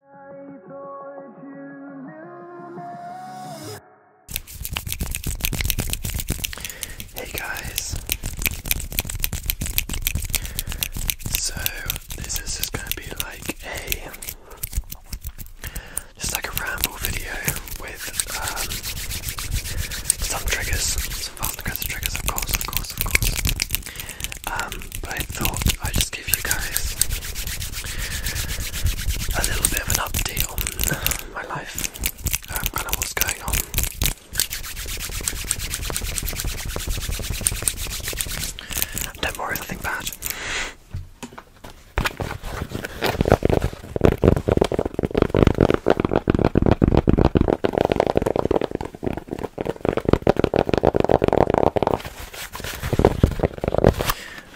Hey guys. So this is just going to be like a just like a ramble video with um, some triggers, some fast triggers, of course, of course, of course. Um, but I thought I'd just give you guys a little bit of an update on my life, um, what's going on. Don't worry, nothing bad.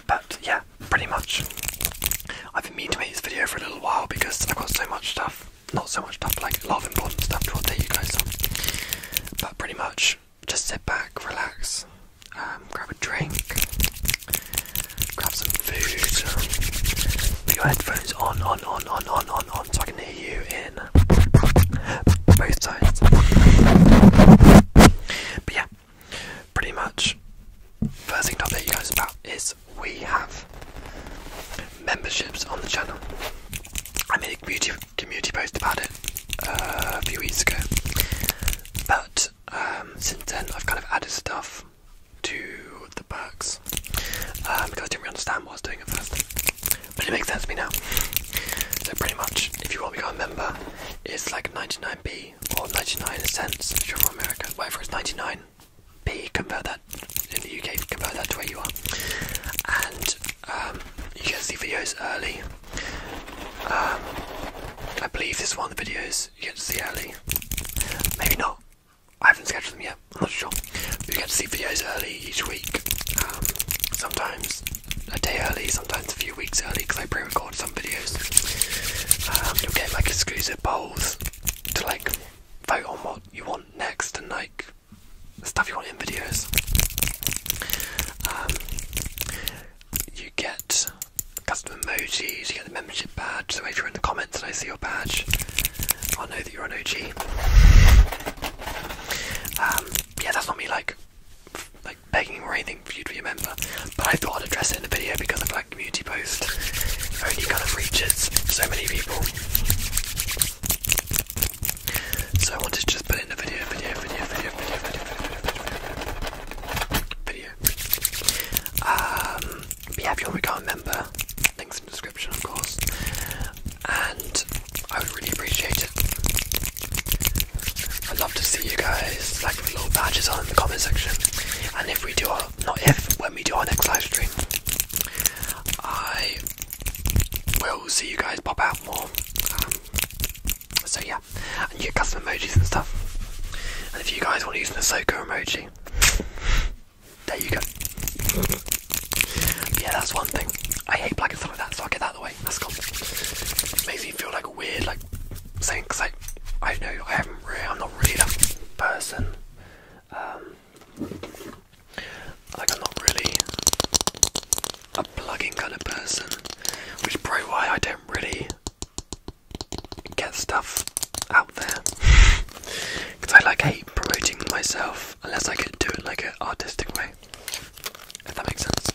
But yeah, pretty much. I've been meaning to make this video for a little while because I've got so much stuff. Not so much stuff, like a lot of important stuff to update you guys on. But pretty much, just sit back, relax, um, grab a drink, grab some food, put your headphones on, on, on, on, on, on, on, so I can hear you in both sides. But yeah, pretty much. First thing to update you guys about is we have memberships on the channel. I made a community post about it uh, a few weeks ago, but um, since then I've kind of added stuff to the perks um, because I didn't really understand what I was doing at first. But it makes sense to me now. So pretty much, if you want to become a member, it's like 99p or 99 cents if you're from America. Whatever it's 99p, convert that in the UK, convert that to where you are. And um, you get to see videos early. Um, I believe this is one of the videos you get to see early. Maybe not. I haven't scheduled them yet, I'm not sure. you get to see videos early each week. Um, sometimes a day early, sometimes a few weeks early, because I pre-record some videos. Um, you'll get like exclusive polls to like vote on what you want next and like the stuff you want in videos. Um, you get custom emojis, you get the membership badge, so if you're in the comments and I see your badge, i know that you're an OG. Um, yeah, that's not me like like begging or anything for you to be a member, but I thought I'd address it in a video because the black community post only kind of reaches so many people. So I wanted to just put it in a video, video, video, video, video, video, video, video. Um, yeah, if you want to become a member, links in the description, of course and I would really appreciate it. I'd love to see you guys like with little badges on in the comment section. And if we do our not if when we do our next live stream, I will see you guys pop out more. Um, so yeah, and you get custom emojis and stuff. And if you guys want to use the Ahsoka emoji, there you go. Yeah, that's one thing. I hate black and stuff like that, so I'll get that out the way. That's cool. makes me feel like weird, like saying, cause I don't know, I haven't I'm not really a person. Um, like I'm not really a plugging kind of person, which probably why I don't really get stuff out there. Because I like hate promoting myself unless I can do it like an artistic way. If that makes sense.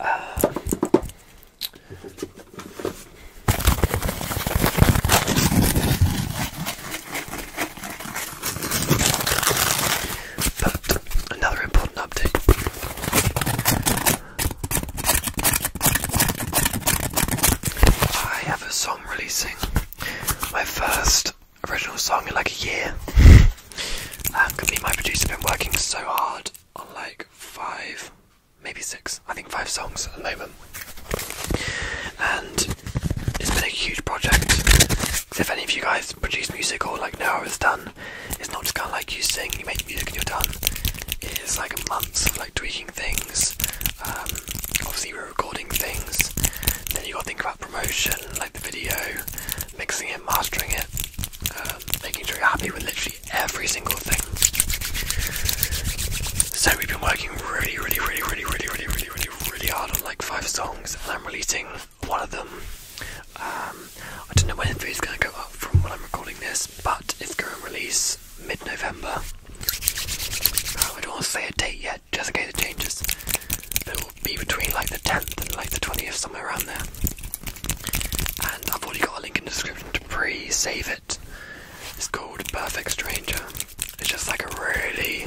Uh, but another important update. I have a song releasing. My first original song in like a year. Um, me and my producer have been working so hard on like five, maybe six, I think five songs at the moment. And it's been a huge project. If any of you guys guys produce music or like now it's done. It's not just kind of like you sing, you make music and you're done. It is like months of like tweaking things. Um, obviously we're recording things. Then you got to think about promotion, like the video, mixing it, mastering it, um, making sure you're happy with literally every single thing. So we've been working really, really, really, really, really, really, really, really, really hard on like five songs, and I'm releasing one of them. Um, I don't know when it's going to go up from when I'm recording this, but it's going to release mid November. I don't want to say a date yet, just in case it changes. it will be between like the 10th and like the 20th, somewhere around there. And I've already got a link in the description to pre save it. It's called Perfect Stranger. It's just like a really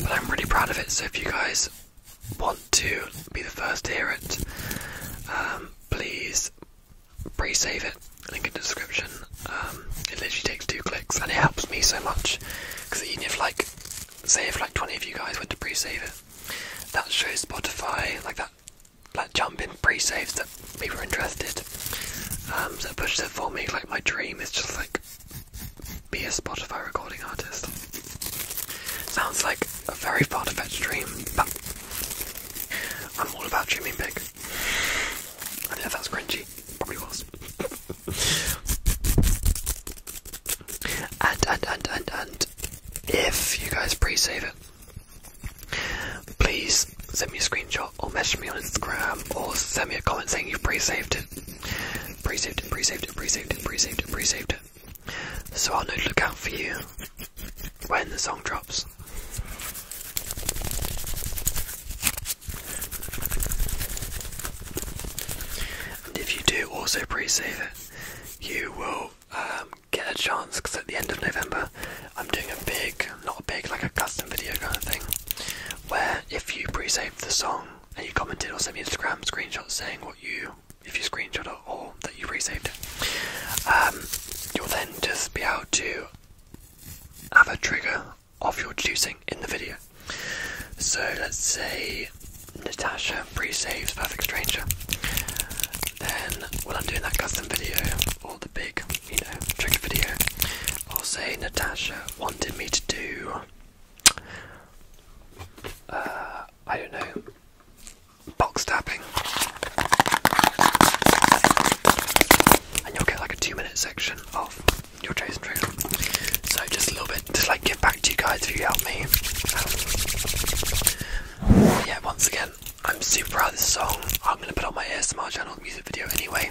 But I'm really proud of it, so if you guys want to be the first to hear it, um, please pre save it, link in the description. Um, it literally takes two clicks and it helps me so much because even if, like, say, if like 20 of you guys went to pre save it, that shows Spotify, like that, that jump in pre saves that people are interested. Um, so it pushes it for me, like, my dream is just like be a Spotify recording artist. Sounds like a very far-fetched dream, but I'm all about dreaming big. I know that's cringy, probably was. and, and, and, and, and, if you guys pre-save it, please send me a screenshot or message me on Instagram or send me a comment saying you've pre-saved it Pre-saved, pre-saved, pre-saved, pre-saved, pre-saved. So I'll know to look out for you when the song drops. And if you do also pre-save it, you will um, get a chance because at the end of November I'm doing a big, not a big, like a custom video kind of thing where if you pre save the song and you commented or sent me an Instagram screenshot saying what you if you screenshot it or that you pre-saved it, um, you'll then just be able to have a trigger of your choosing in the video. So let's say Natasha pre-saves Perfect Stranger. Then while I'm doing that custom video or the big you know, trigger video. I'll say Natasha wanted me to do, uh, I don't know, box tapping. And you'll get like a two minute section of your trace and trigger. So just a little bit, to like give back to you guys if you help me. Um, yeah, once again, I'm super proud of this song. I'm gonna put on my ASMR channel music video anyway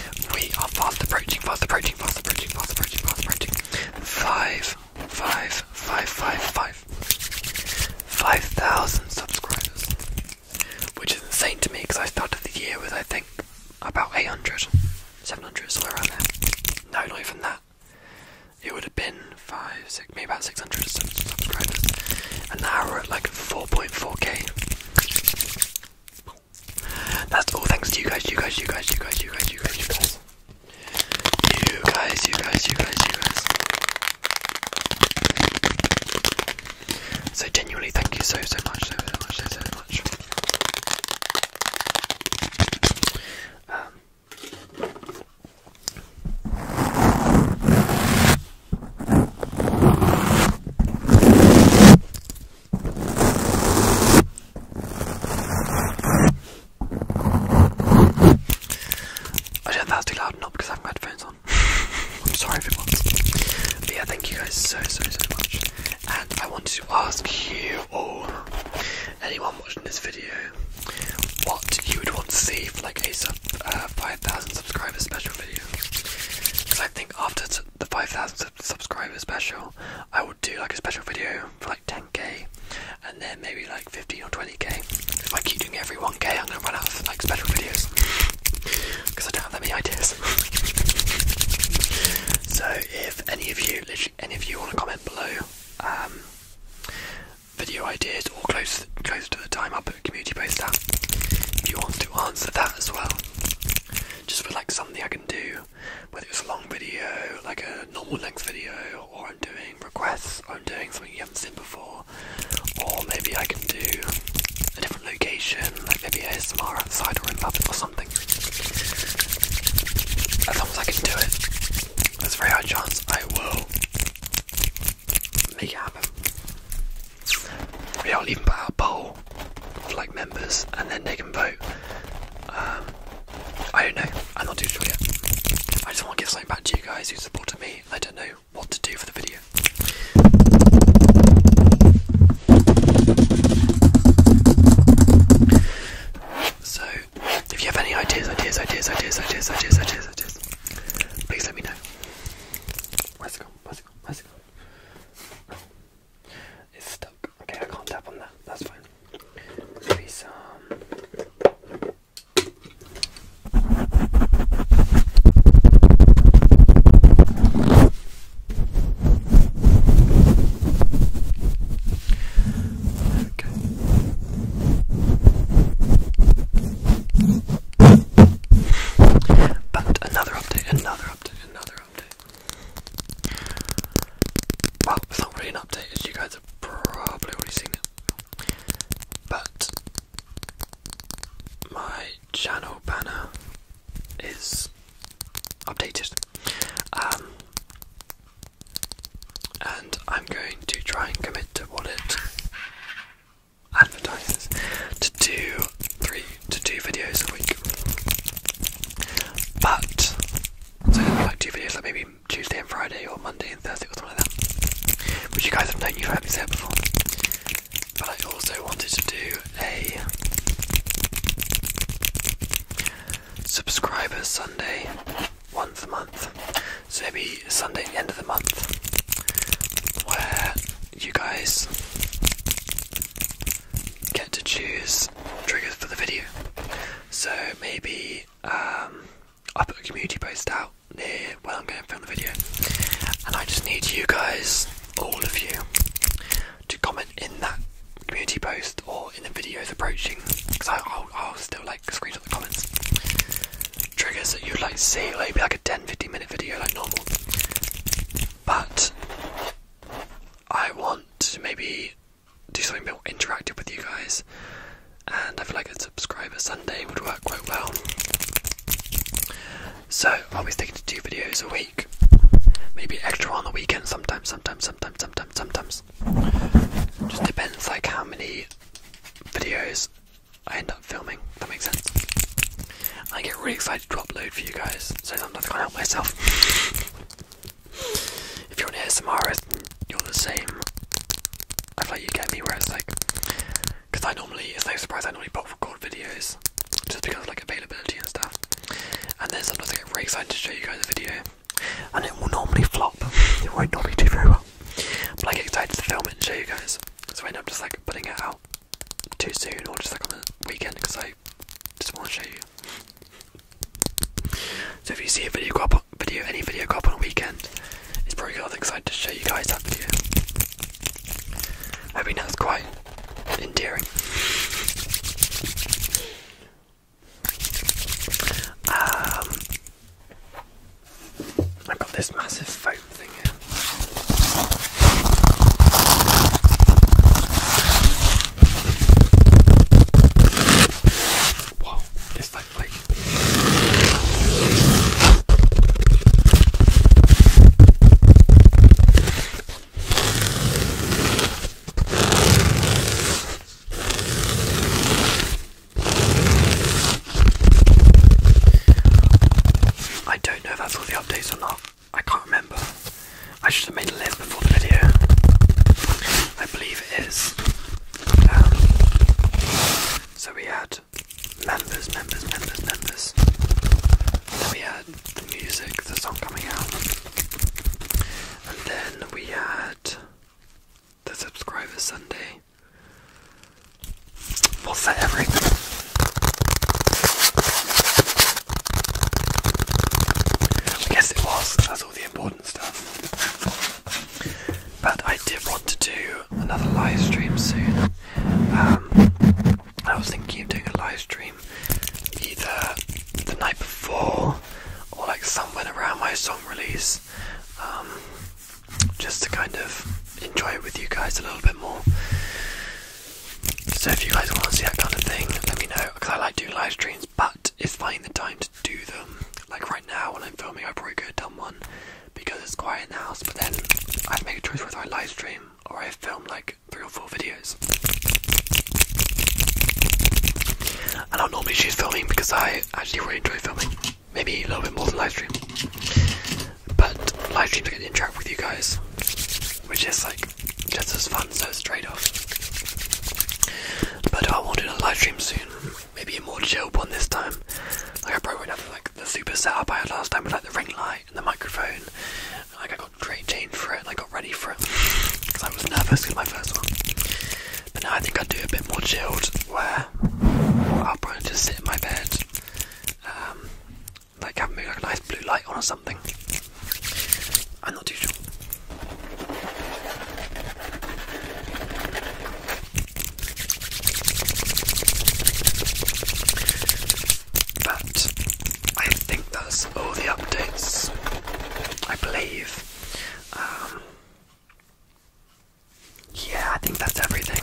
we are fast approaching, fast approaching, fast approaching, fast approaching, fast approaching. Five, five, five, five, five. Five thousand subscribers. Which is insane to me because I started the year with, I think, about 800, 700, somewhere around there. No, not even that. It would have been five, six, maybe about 600 subscribers. And now we're at like 4.4k. That's all thanks to you guys, you guys, you guys, you guys, you guys, you guys, you guys. You guys, you guys, you guys, you guys. So genuinely thank you so so much, so so much, so so much. Um I don't know that's too loud or because I haven't headphones on. I'm sorry if it was. But yeah, thank you guys so so so much. And I wanted to ask you all, anyone watching this video, what you would want to see for like a sub uh, 5,000 subscribers special video. Because I think after the 5,000 subscriber special, I would do like a special video for like 10k, and then maybe like 15 or 20k. If I keep doing every 1k, I'm gonna run out of like special videos because I don't have that many ideas. so if any of you, any of you, want to comment below. Um, video ideas or close close to the time i put a community post out if you want to answer that as well just for like something I can do, whether it's a long video, like a normal length video, or I'm doing requests, or I'm doing something you haven't seen before, or maybe I can do a different location, like maybe ASMR outside or in public or something. As long as I can do it, there's very high chance I will make it happen. We I'll even put a poll to like members, and then they can vote. Um, I don't know. I'm not too sure yet. I just want to give something back to you guys who supported me. I don't know what to do for the video. So, if you have any ideas, ideas, ideas, ideas, ideas, ideas, ideas, ideas, please let me know. Where's it gone? Where's it gone? Where's it gone? It's stuck. Okay, I can't tap on that. That's fine. Okay. But another update, another update. Well, it's not really an update, as you guys have probably already seen it. But my channel banner is updated. Um, and I'm going to try and commit to what it advertisers to do three to two videos a week. But so like two videos like maybe Tuesday and Friday or Monday and Thursday or something like that. Which you guys have known you've heard me say before. But I also wanted to do a subscribers Sunday once a month. So maybe Sunday end of the month where you guys get to choose triggers for the video. So maybe um, I'll put a community post out near where I'm going to film the video, and I just need you guys, all of you, to comment in that community post or in the videos approaching, because I'll, I'll still like screenshot the comments. Triggers that you'd like to see, like maybe like a 10 15 minute video like normal. But I want to maybe do something a bit more interactive with you guys, and I feel like a subscriber Sunday would work quite well. So I'll be sticking to two videos a week, maybe extra on the weekend sometimes, sometimes, sometimes, sometimes, sometimes. Just depends like how many videos I end up filming. That makes sense. I get really excited to upload for you guys, so sometimes I can't help myself. if you're an ASMRist, you're the same. I feel like you get me where it's like, because I normally, it's no surprise, I normally pop record videos just because of like availability and stuff. And then sometimes I get really excited to show you guys a video, and it will normally flop. it won't normally do very well. But I get excited to film it and show you guys, so I end up just like putting it out too soon or just like on the weekend because I just want to show you. So if you see a video go up, video any video go up on a weekend, it's probably because I'm excited to show you guys that video. I mean that's quite endearing. Um, I've got this massive foam thing here. Wow, this like I don't know if that's all the updates or not. I can't remember. I should have made a list before the video. I believe it is. Um, so we had members, members, members, members. Then we had the music, the song coming out. And then we had the subscriber Sunday. We'll set everything. I guess it was, that's all the important stuff. But I did want to do another live stream soon. Um, I was thinking of doing a live stream either the night before or like somewhere around my song release. Um, just to kind of enjoy it with you guys a little bit more. So if you guys want to see that kind of thing, let me know because I like doing live streams, but it's finding the time to do them. Like right now when I'm filming, I probably could have done one because it's quiet in the house. But then I'd make a choice whether I live stream or I film like three or four videos. And i normally choose filming because I actually really enjoy filming maybe a little bit more than live stream. But live streams I get to interact with you guys, which is like just as fun, so it's trade off. But I wanted a live stream soon, maybe a more chilled one this time. Like I probably went not like the super setup I had last time with like the ring light and the microphone. Like I got great change for it and I got ready for it because I was nervous with my first one. But now I think I'd do a bit more chilled where I'll probably just sit in my bed um, like have like a nice blue light on or something. I'm not too But I think that's all the updates. I believe. Um, yeah, I think that's everything.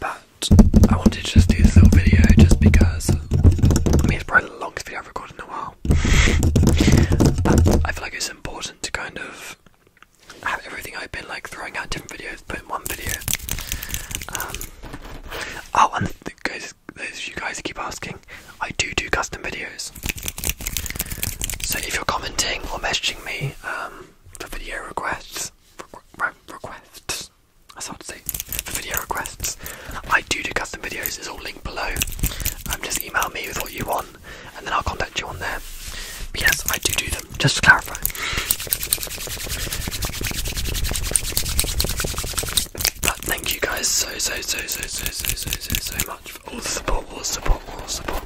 But I wanted to just do this little video just because I mean it's probably the longest video I've recorded in a while. But I feel like it's important to kind of have everything I've been like throwing out different videos, put in one video. Um, oh, and the you guys keep asking, I do do custom videos. So if you're commenting or messaging me, um, for video requests. requests. That's hard to say. For video requests, I do do custom videos. It's all linked below. Um, just email me with what you want, and then I'll contact you on there. But yes, I do do them. Just to clarify. But thank you guys so so so so so so so, so much for all the support, all the support, all the support.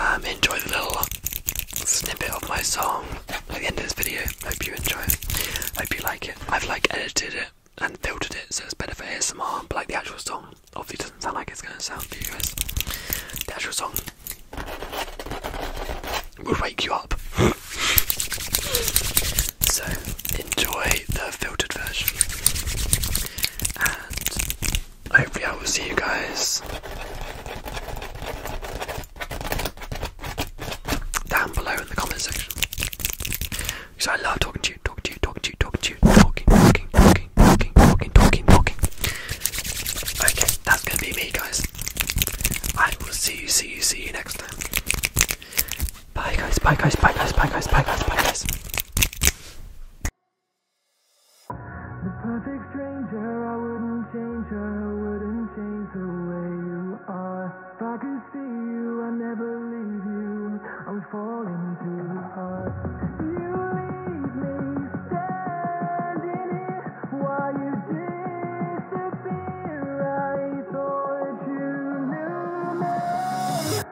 Um, enjoy the little snippet of my song at the end of this video. Hope you enjoy it. Hope you like it. I've like edited it and filtered it so it's better for ASMR, but like the actual song obviously doesn't sound like it's gonna sound for you guys. The actual song will wake you up. so enjoy the filtered version and hopefully I will see you guys down below in the comment section. Because I love talking to you, talking to you, talking to you, talking to you, talking, talking, talking, talking, talking, talking, Okay, that's gonna be me guys. I will see you, see you, see you next time. Bye guys, bye guys, bye guys, bye guys, bye guys, bye guys. The perfect stranger, I wouldn't change her, wouldn't change the way you are. If I could see you, I'd never leave you. I'm falling too hard. You leave me standing here while you disappear. I thought you knew me.